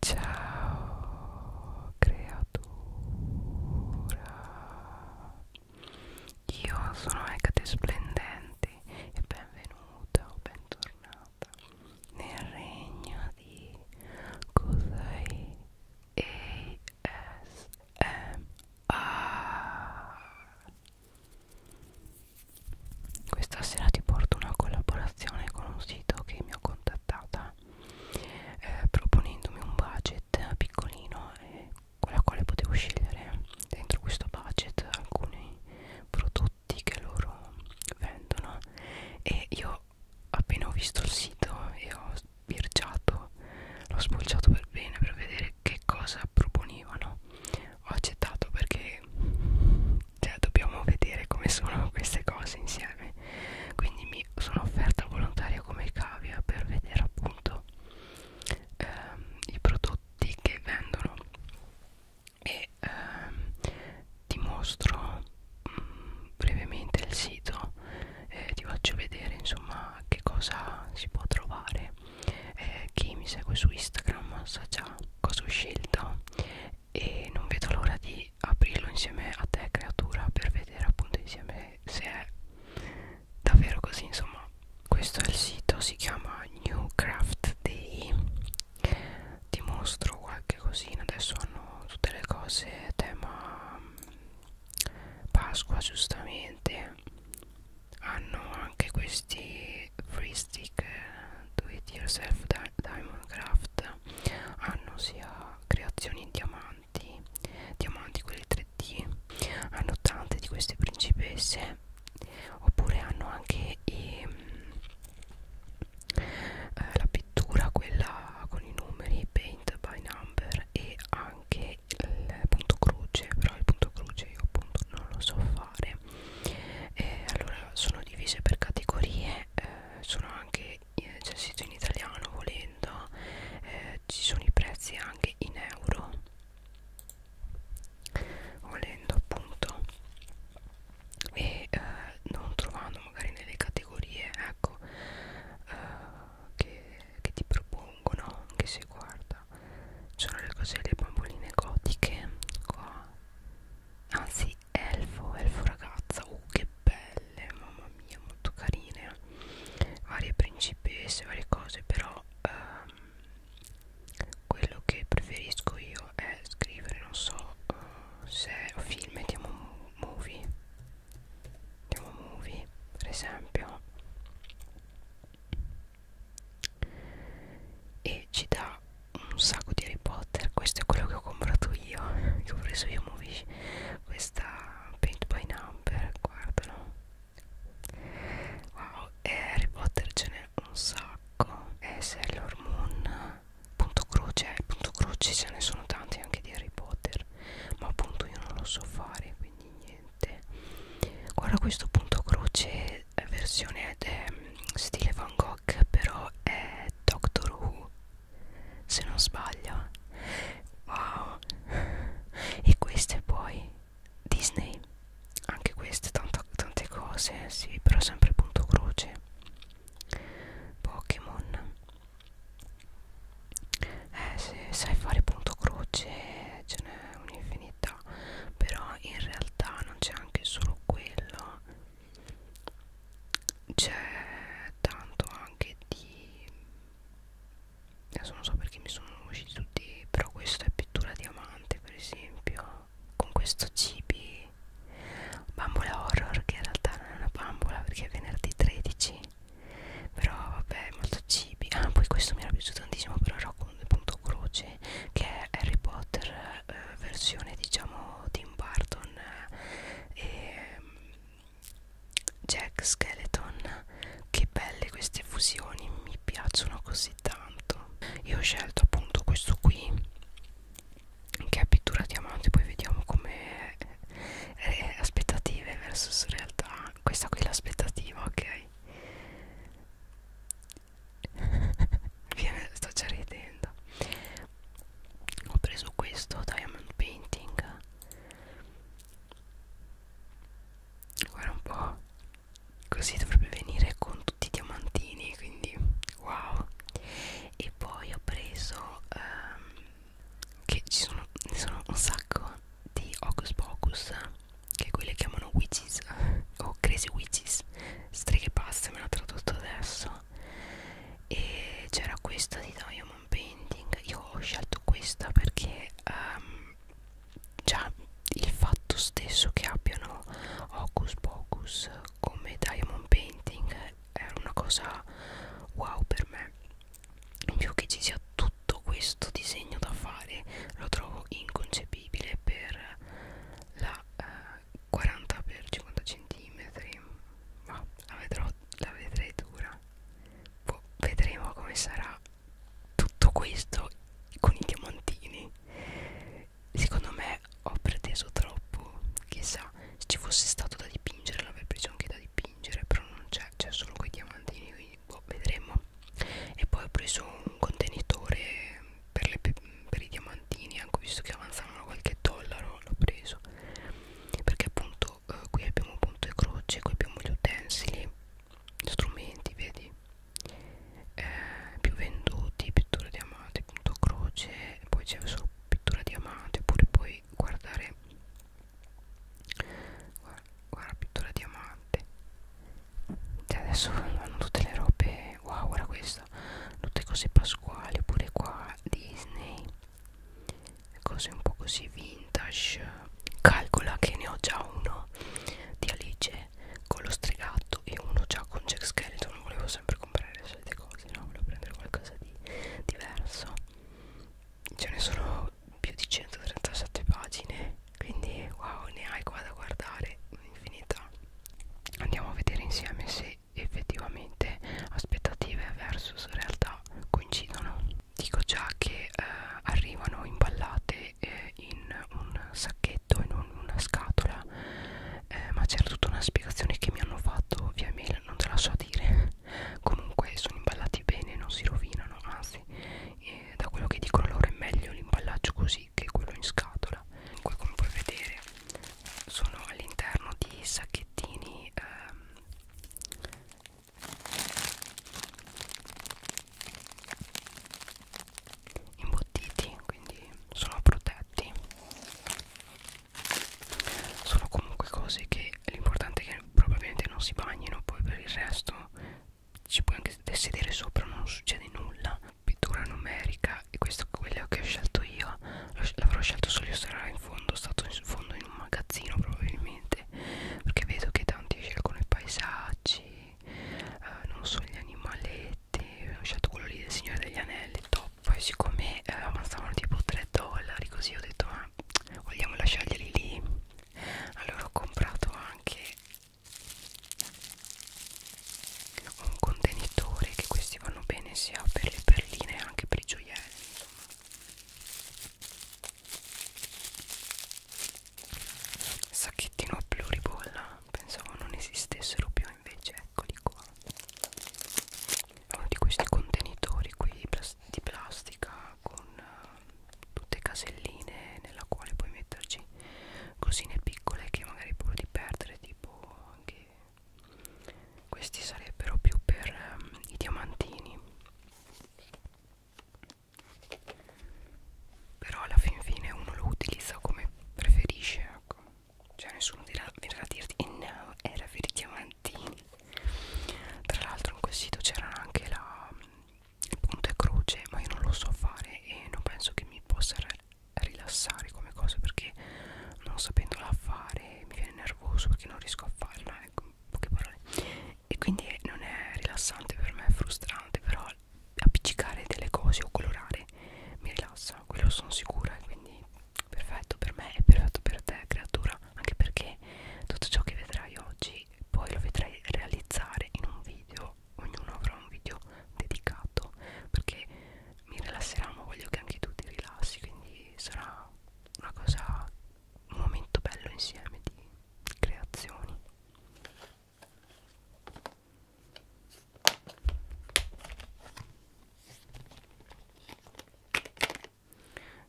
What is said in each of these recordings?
Ciao creatura, io sono Agate Splendente e benvenuta o bentornata nel regno di Cosai ASMR. Questa sera ti porto una collaborazione con un sito che mi ho consigliato contattata eh, proponendomi un budget piccolino eh, con la quale potevo scegliere dentro questo budget alcuni prodotti che loro vendono e io appena ho visto il sito e ho sbirciato l'ho spulciato per bene per vedere che cosa proponevano ho accettato perché cioè dobbiamo vedere come sono queste cose insieme quindi mi sono offerta volontaria come cavia per vedere appunto ehm, i prodotti che vendono e ehm, ti mostro mh, mm, brevemente il sito eh, ti faccio vedere insomma che cosa si può trovare eh, chi mi segue su Instagram sa già cosa ho scelto e non vedo l'ora di aprirlo insieme a te creatura per vedere appunto insieme se è davvero così insomma questo è il sito si chiama newcraft day ti mostro qualche cosina adesso hanno tutte le cose tema pasqua giustamente hanno anche questi free stick do it yourself diamond craft strada hanno sia creazioni in diamanti diamanti quelli 3D hanno tante di queste principesse oppure hanno anche i, ehm, eh, la pittura quella con i numeri paint by number e anche il punto croce però il punto croce io appunto non lo so fare eh, allora sono divise per categorie eh, sono anche eh, c'è il sito in italiano volendo eh, ci sono i prezzi anche in euro volendo appunto e eh, non trovando magari nelle categorie ecco eh, che, che ti propongono anche se guarda sono le cose le bamboline gotiche qua anzi elfo, elfo ragazza, uh che belle, mamma mia, molto carine, varie principesse, varie cose, però ehm, quello che preferisco io è scrivere, non so, eh, se è film, mettiamo movie, mettiamo movie, per esempio, e ci dà un sacco di Harry Potter questo è quello che ho comprato io che ho preso io Movish questa paint by number guardalo wow e Harry Potter ce n'è un sacco e Sailor Moon punto croce punto croce ce ne sono tanti anche di Harry Potter ma appunto io non lo so fare quindi niente guarda questo punto croce versione de, ehm, stile Van Gogh però è Doctor Who se non sbaglio wow e queste poi Disney anche queste tanto, tante cose sì però sempre punto croce Pokémon eh se sai fare punto croce ce n'è un'infinità però in realtà non c'è anche solo quello c'è tanto anche di adesso non so perché mi sono usciti tutti però questo è pittura diamante per esempio con questo cibi bambola horror che in realtà non è una bambola perché è venerdì 13 però vabbè molto cibi ah poi questo mi era piaciuto tantissimo però era con punto croce che è Harry Potter eh, versione diciamo Tim Burton con eh, Jack Skeleton che belle queste fusioni mi piacciono così tanto io ho scelto appunto questo qui che è pittura diamante poi vediamo come eh, aspettative versus realtà questa qui è l'aspettativa ok viene sto già ridendo ho preso questo diamond painting guarda un po' così dovrebbe venire con tutti i diamantini quindi wow e poi ho preso um, che ci sono, sono un sacco di Hocus Pocus che quelle chiamano witches o oh, crazy witches streghe pazze me l'ha tradotto adesso qua e c'era questa di Diamond Painting io ho scelto questa perché um, già il fatto stesso che abbiano Hocus Pocus come Diamond Painting è una cosa wow per me in più che ci sia tutto questo disegno da fare lo trovo inconcepibile per la eh, 40x50 cm ma la, vedrò, la vedrei dura Poi boh, vedremo come sarà tutto questo con i diamantini secondo me ho preteso troppo chissà se ci fosse stato da dipingere l'avrei preso anche da dipingere però non c'è c'è solo quei diamantini quindi boh, vedremo e poi ho preso un contenitore per, le, per i diamantini anche visto che avanzavano qualche dollaro l'ho preso perché appunto eh, qui abbiamo appunto le croce qui abbiamo gli utensili strumenti vedi eh, più venduti pittura di amate punto croce poi c'è solo pittura di amate oppure puoi guardare guarda, guarda pittura diamante cioè adesso hanno tutte le robe wow guarda questa tutte cose pasquali oppure qua Disney cose un po' così vintage calcola che ne ho già uno di Alice con lo stregato e uno già con Jack Skeleton volevo sempre comprare le solite cose no? volevo prendere qualcosa di diverso ce ne sono più di 137 pagine quindi wow ne hai qua da guardare un'infinità andiamo a vedere insieme se effettivamente aspettative versus realtà coincidono dico già che eh, arrivano imballate eh, in un sacchetto in un, una scatola eh, ma c'era tutta una spiegazione che mi hanno fatto via mail non te la so dire comunque sono imballati bene non si rovinano anzi eh, da quello che dicono loro è meglio l'imballaggio così che quello in scatola comunque come puoi vedere sono all'interno di sacchetti pacchettini ehm, imbottiti quindi sono protetti sono comunque cose che l'importante è che probabilmente non si bagnino poi per il resto ci puoi anche sedere sopra non succede nulla pittura numerica e questo è quello che ho scelto io ma l'avrò scelto solo io sarà in fondo stato in fondo in un magazzino probabilmente perché vedo che tanti scelgono i paesaggi eh, non so gli animaletti ho scelto quello lì del signore degli anelli top poi siccome eh, avanzavano tipo 3 dollari così ho detto ma ah, vogliamo lasciarglieli lì allora ho comprato anche un contenitore che questi vanno bene sia per le perline che anche per i gioielli Sacchettino a pluribolla, pensavo non esistessero più, invece eccoli qua. È uno di questi contenitori qui di plastica con uh, tutte caselline nella quale puoi metterci cosine piccole che magari puoi di perdere, tipo anche questi sarebbero più per um, i diamantini però alla fin fine uno lo utilizza come preferisce ecco cioè nessuno dirà, verrà a dirti e eh, no era per i diamantini tra l'altro in quel sito c'era anche la il punto e croce ma io non lo so fare e non penso che mi possa rilassare come cosa perché non sapendola fare mi viene nervoso perché non riesco a farla ecco, poche parole e quindi non è rilassante per me è frustrante però appiccicare delle cose o colorare mi rilassa quello sono sicura e quindi perfetto per me e perfetto per te creatura anche perché tutto ciò che vedrai oggi poi lo vedrai realizzare in un video ognuno avrà un video dedicato perché mi rilasserà ma voglio che anche tu ti rilassi quindi sarà una cosa un momento bello insieme di creazioni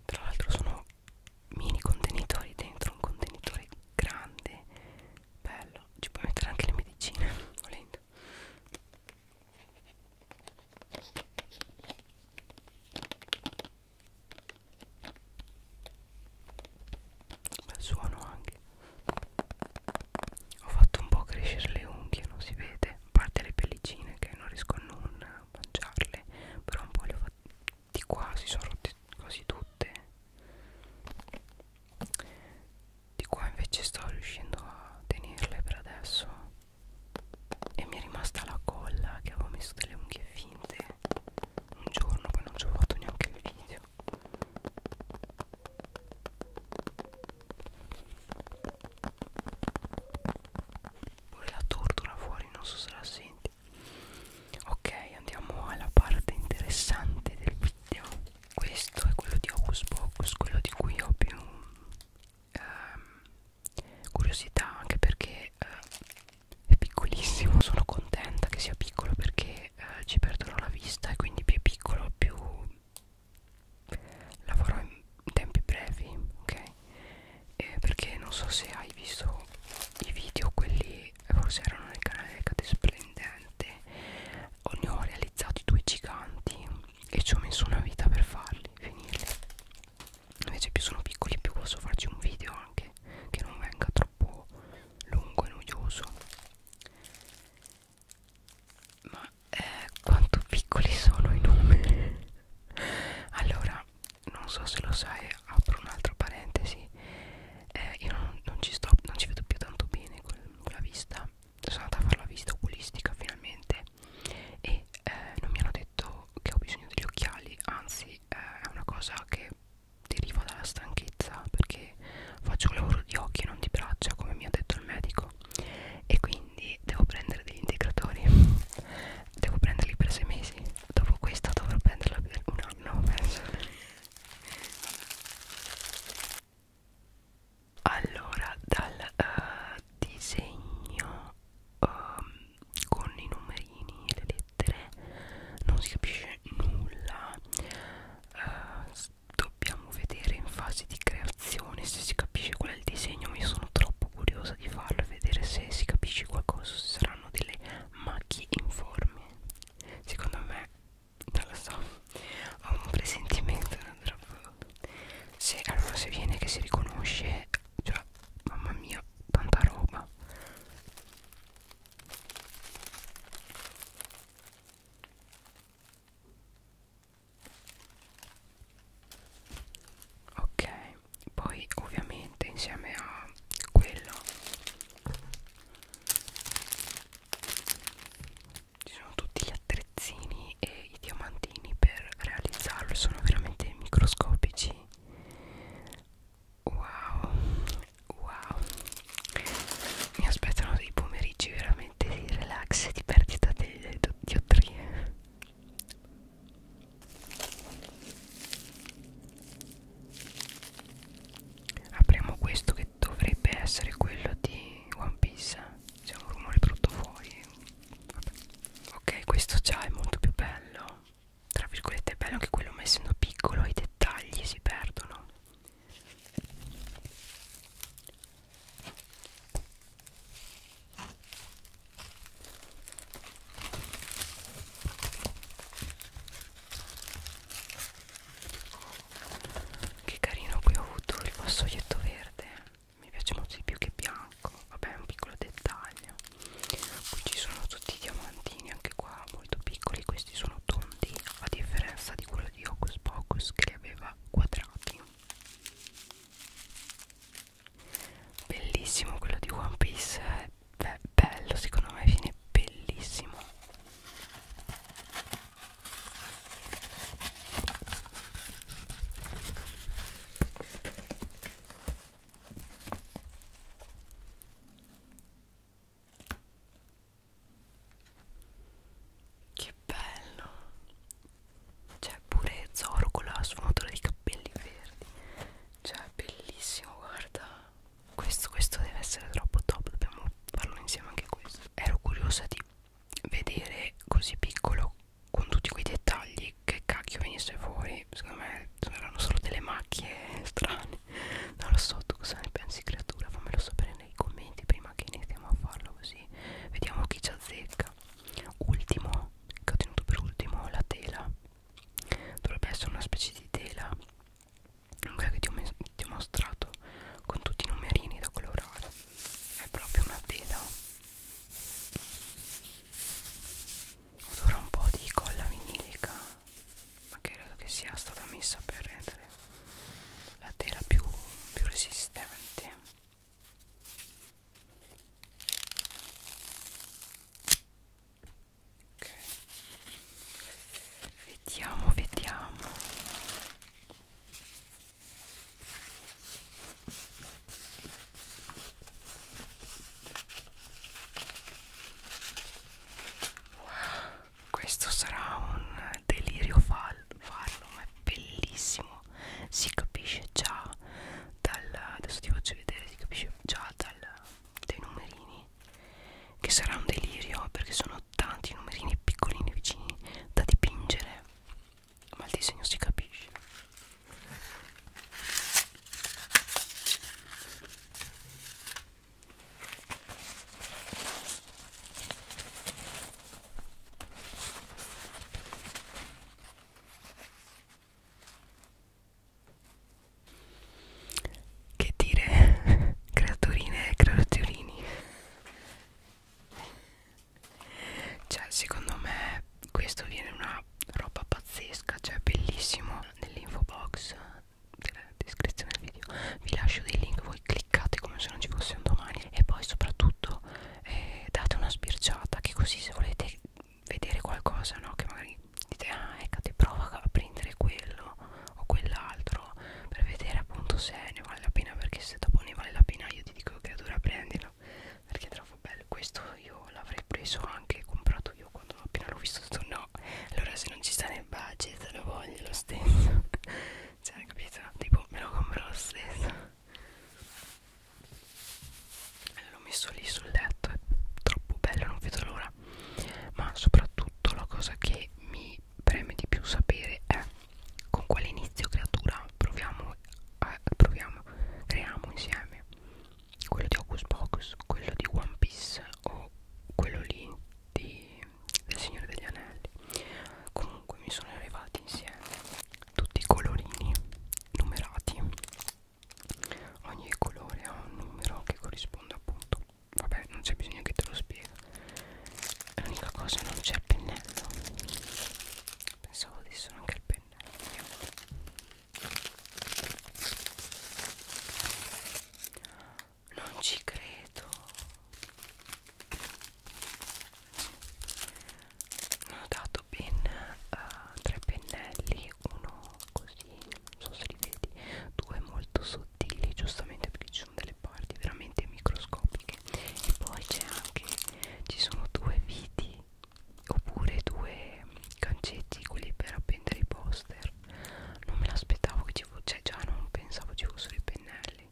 tra l'altro sono mini contenitori dentro un contenitore grande bello ci puoi mettere anche le medicine volendo bel suono anche ho fatto un po' crescere le unghie non si vede a parte le pellicine che non riesco a non mangiarle però un po' le ho fatte di qua si sono rotte quasi tutte di qua invece sto riuscendo a tenerle per adesso e mi è rimasta la colla che avevo messo delle unghie finte un giorno poi non ci ho fatto neanche il video pure la tortura fuori non so se la senti ok andiamo alla parte interessante del video questo è quello di Hocus Pocus quello di cui ho più ehm, curiosità anche perché eh, è piccolissimo sono contenta che sia piccolo perché eh, ci perdono la vista e quindi più è piccolo più lavorò in tempi brevi ok eh, perché non so se hai visto i video quelli forse erano nel canale Cade Splendente o ne ho realizzato due giganti e ci ho messo una vita per farli finirli invece più sono piccoli più posso farci un video anche che non venga troppo lungo e noioso ma eh, quanto piccoli sono i numeri allora non so se lo sai apro un'altra parentesi eh, io non, non ci sto non ci vedo più tanto bene con, con la vista sono andata a fare la vista oculistica finalmente e eh, non mi hanno detto che ho bisogno degli occhiali anzi eh, è una cosa che deriva dalla stanchezza perché faccio un lavoro di occhi e non di braccia come mi ha detto il medico e quindi devo prendere degli integratori devo prenderli per sei mesi dopo questa dovrò prenderla per un anno penso allora dal eh, disegno um, con i numerini e le lettere non si capisce nulla uh, dobbiamo vedere in fase di creazione se si capisce qual è il disegno mi sono troppo curiosa di farlo e vedere se si capisce qualcosa se saranno delle macchie informi secondo me non lo so ho un presentimento non troppo se allora se viene che si riconosce cioè mamma mia tanta roba ok poi ovviamente insieme a quello ci sono tutti gli attrezzini e i diamantini per realizzarlo sono veramente microscopici wow wow mi aspettano dei pomeriggi veramente di relax e di perdita delle diottrie apriamo questo che dovrebbe essere quello di One Piece c'è un rumore brutto fuori Vabbè. ok questo già è molto più bello tra virgolette è bello anche quello ma essendo piccolo i dettagli si perdono che carino qui ho avuto il vassoietto verde mi piace molto di più che bianco vabbè è un piccolo dettaglio qui ci sono tutti i diamantini anche qua molto piccoli questi sono tondi a differenza di quello di Hocus Pocus che li aveva quadrati bellissimo quello di One Piece Beh, bello secondo me viene bellissimo che bello! C'è cioè, pure Zoro con la sfumatura dei capelli verdi. Cioè, bellissimo, guarda. Questo, questo deve essere troppo top. Dobbiamo farlo insieme anche questo. Ero curiosa di vedere così piccolo con tutti quei dettagli che cacchio venisse fuori secondo me erano solo delle macchie strane non lo so tu cosa ne pensi creatura fammelo sapere nei commenti prima che iniziamo a farlo così vediamo chi ci azzecca ultimo che ho tenuto per ultimo la tela dovrebbe essere una specie di tela quella che ti ho, ti ho mostrato con tutti i numerini da colorare è proprio una tela odora un po' di colla vinilica ma credo che sia stata messa per rendere la tela più, più resistente ok vediamo vediamo questo sarà un delirio farlo, ma è bellissimo. Si capisce già dal. Adesso ti faccio vedere, si capisce già dal, dai numerini. Che sarà un delirio perché sono tanti numerini piccolini vicini da dipingere ma il disegno si capisce che dire creaturine e creaturini cioè secondo me questo viene una roba pazzesca cioè bellissimo nell'info box della descrizione del video vi lascio dei link voi cliccate come se non ci fosse un domani e poi soprattutto eh, date una sbirciata che così se volete vedere qualcosa no che magari dite ah eccate prova a prendere quello o quell'altro per vedere appunto se ne vale la pena perché se dopo ne vale la pena io ti dico che dura prenderlo perché è troppo bello questo io l'avrei preso anche comprato io quando appena l'ho visto ho detto no allora se non ci sta nel budget lo voglio lo stesso cioè capito tipo me lo compro lo stesso l'ho messo lì sul letto è troppo bello non vedo l'ora ma soprattutto la cosa che mi preme di più sapere è con quale inizio creatura proviamo, eh, proviamo creiamo insieme quello di Hocus Pocus, quello di One Piece o quello lì di, del Signore degli Anelli comunque mi sono arrivati insieme tutti i colorini numerati ogni colore ha un numero che corrisponde appunto vabbè non c'è bisogno che te lo spiego l'unica cosa non c'è il pennello pensavo adesso anche il pennello non ci credo. Ne ho dato ben uh, tre pennelli, uno così, non so se li vedi, due molto sottili, giustamente perché ci sono delle parti veramente microscopiche. E poi c'è anche, ci sono due viti oppure due gancetti quelli per appendere i poster non me l'aspettavo che ci fosse cioè già non pensavo ci fossero i pennelli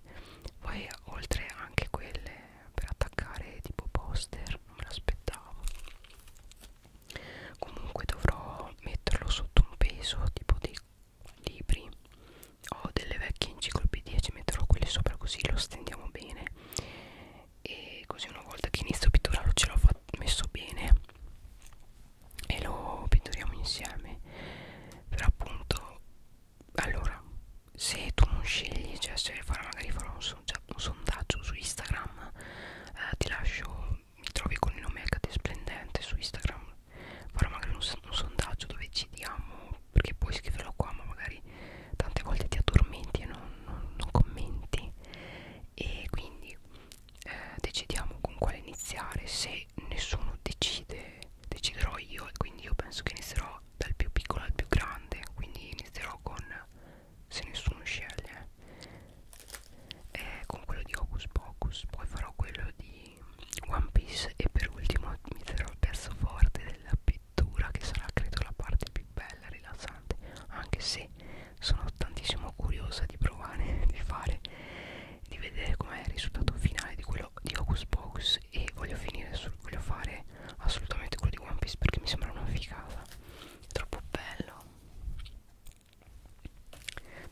poi oltre anche quelle per attaccare tipo poster non me l'aspettavo comunque dovrò metterlo sotto un peso tipo dei libri ho delle vecchie enciclopedie ci metterò quelle sopra così lo stendiamo bene e così una volta che inizio a pitturarlo ce l'ho messo bene e lo pittoriamo insieme però appunto allora se tu non scegli cioè se farà magari farò un, son, cioè, un sondaggio su Instagram eh, ti lascio mi trovi con il nome HD Splendente su Instagram farò magari un, un sondaggio dove ci diamo perché puoi scriverlo qua ma magari tante volte ti addormenti e non, non, non commenti e quindi eh, decidiamo con quale iniziare se nessuno decide deciderò io e quindi io penso che inizierò dal più piccolo al più grande quindi inizierò con se nessuno sceglie eh, con quello di Hocus Pocus poi farò quello di One Piece e per ultimo inizierò il verso forte della P lettura che sarà credo la parte più bella e rilassante anche se sono tantissimo curiosa di provare di fare di vedere com'è il risultato finale di quello di Hocus Pocus e voglio finire sul, voglio fare assolutamente quello di One Piece perché mi sembra una figata è troppo bello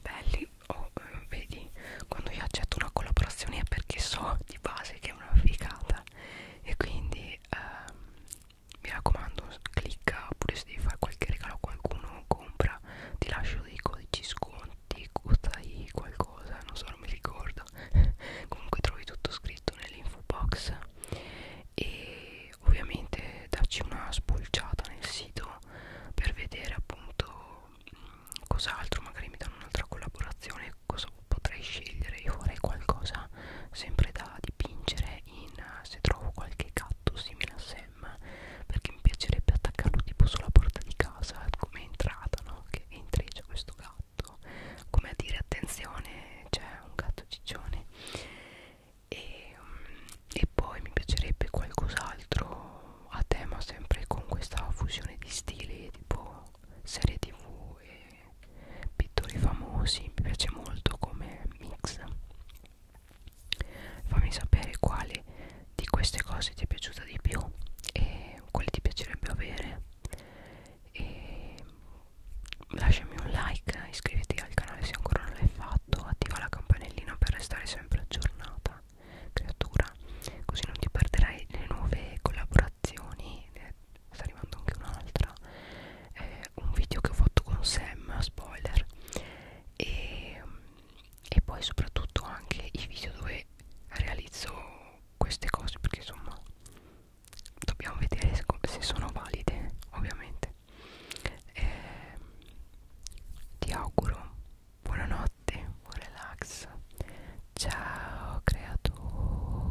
belli oh, eh, vedi quando io accetto una collaborazione è perché so di base che è una figata e quindi ehm, mi raccomando clicca oppure se devi fare qualche regalo a qualcuno compra ti lascio dei codici sconti costai qualcosa non so non mi ricordo comunque trovi tutto scritto nell'info box e ovviamente darci una spulciata nel sito per vedere appunto mm, cos'altro magari mi danno un'altra collaborazione cosa potrei scegliere io farei qualcosa sempre da dipingere in se trovo qualche gatto simile a Sam perché mi piacerebbe attaccarlo tipo sulla porta di casa come entrata no? che entri c'è questo gatto come a dire attenzione c'è un gatto ciccione e, mm, e poi mi piacerebbe qualcos'altro a tema sempre con questa fusione di stili tipo serie tv e pittori famosi mi piace molto come mix fammi sapere quale di queste cose ti è piaciuta di più e quale ti piacerebbe avere e lasciami un like iscriviti al canale se ancora non l'hai fatto attiva la campanellina per restare sempre aggiornata creatura così non ti perderai le nuove collaborazioni eh, sta arrivando anche un'altra eh, un video che ho fatto con Sam spoiler e, e poi soprattutto anche i video dove realizzo queste cose perché insomma dobbiamo vedere se, se sono valide ovviamente eh, ti auguro buonanotte buon relax ciao creatura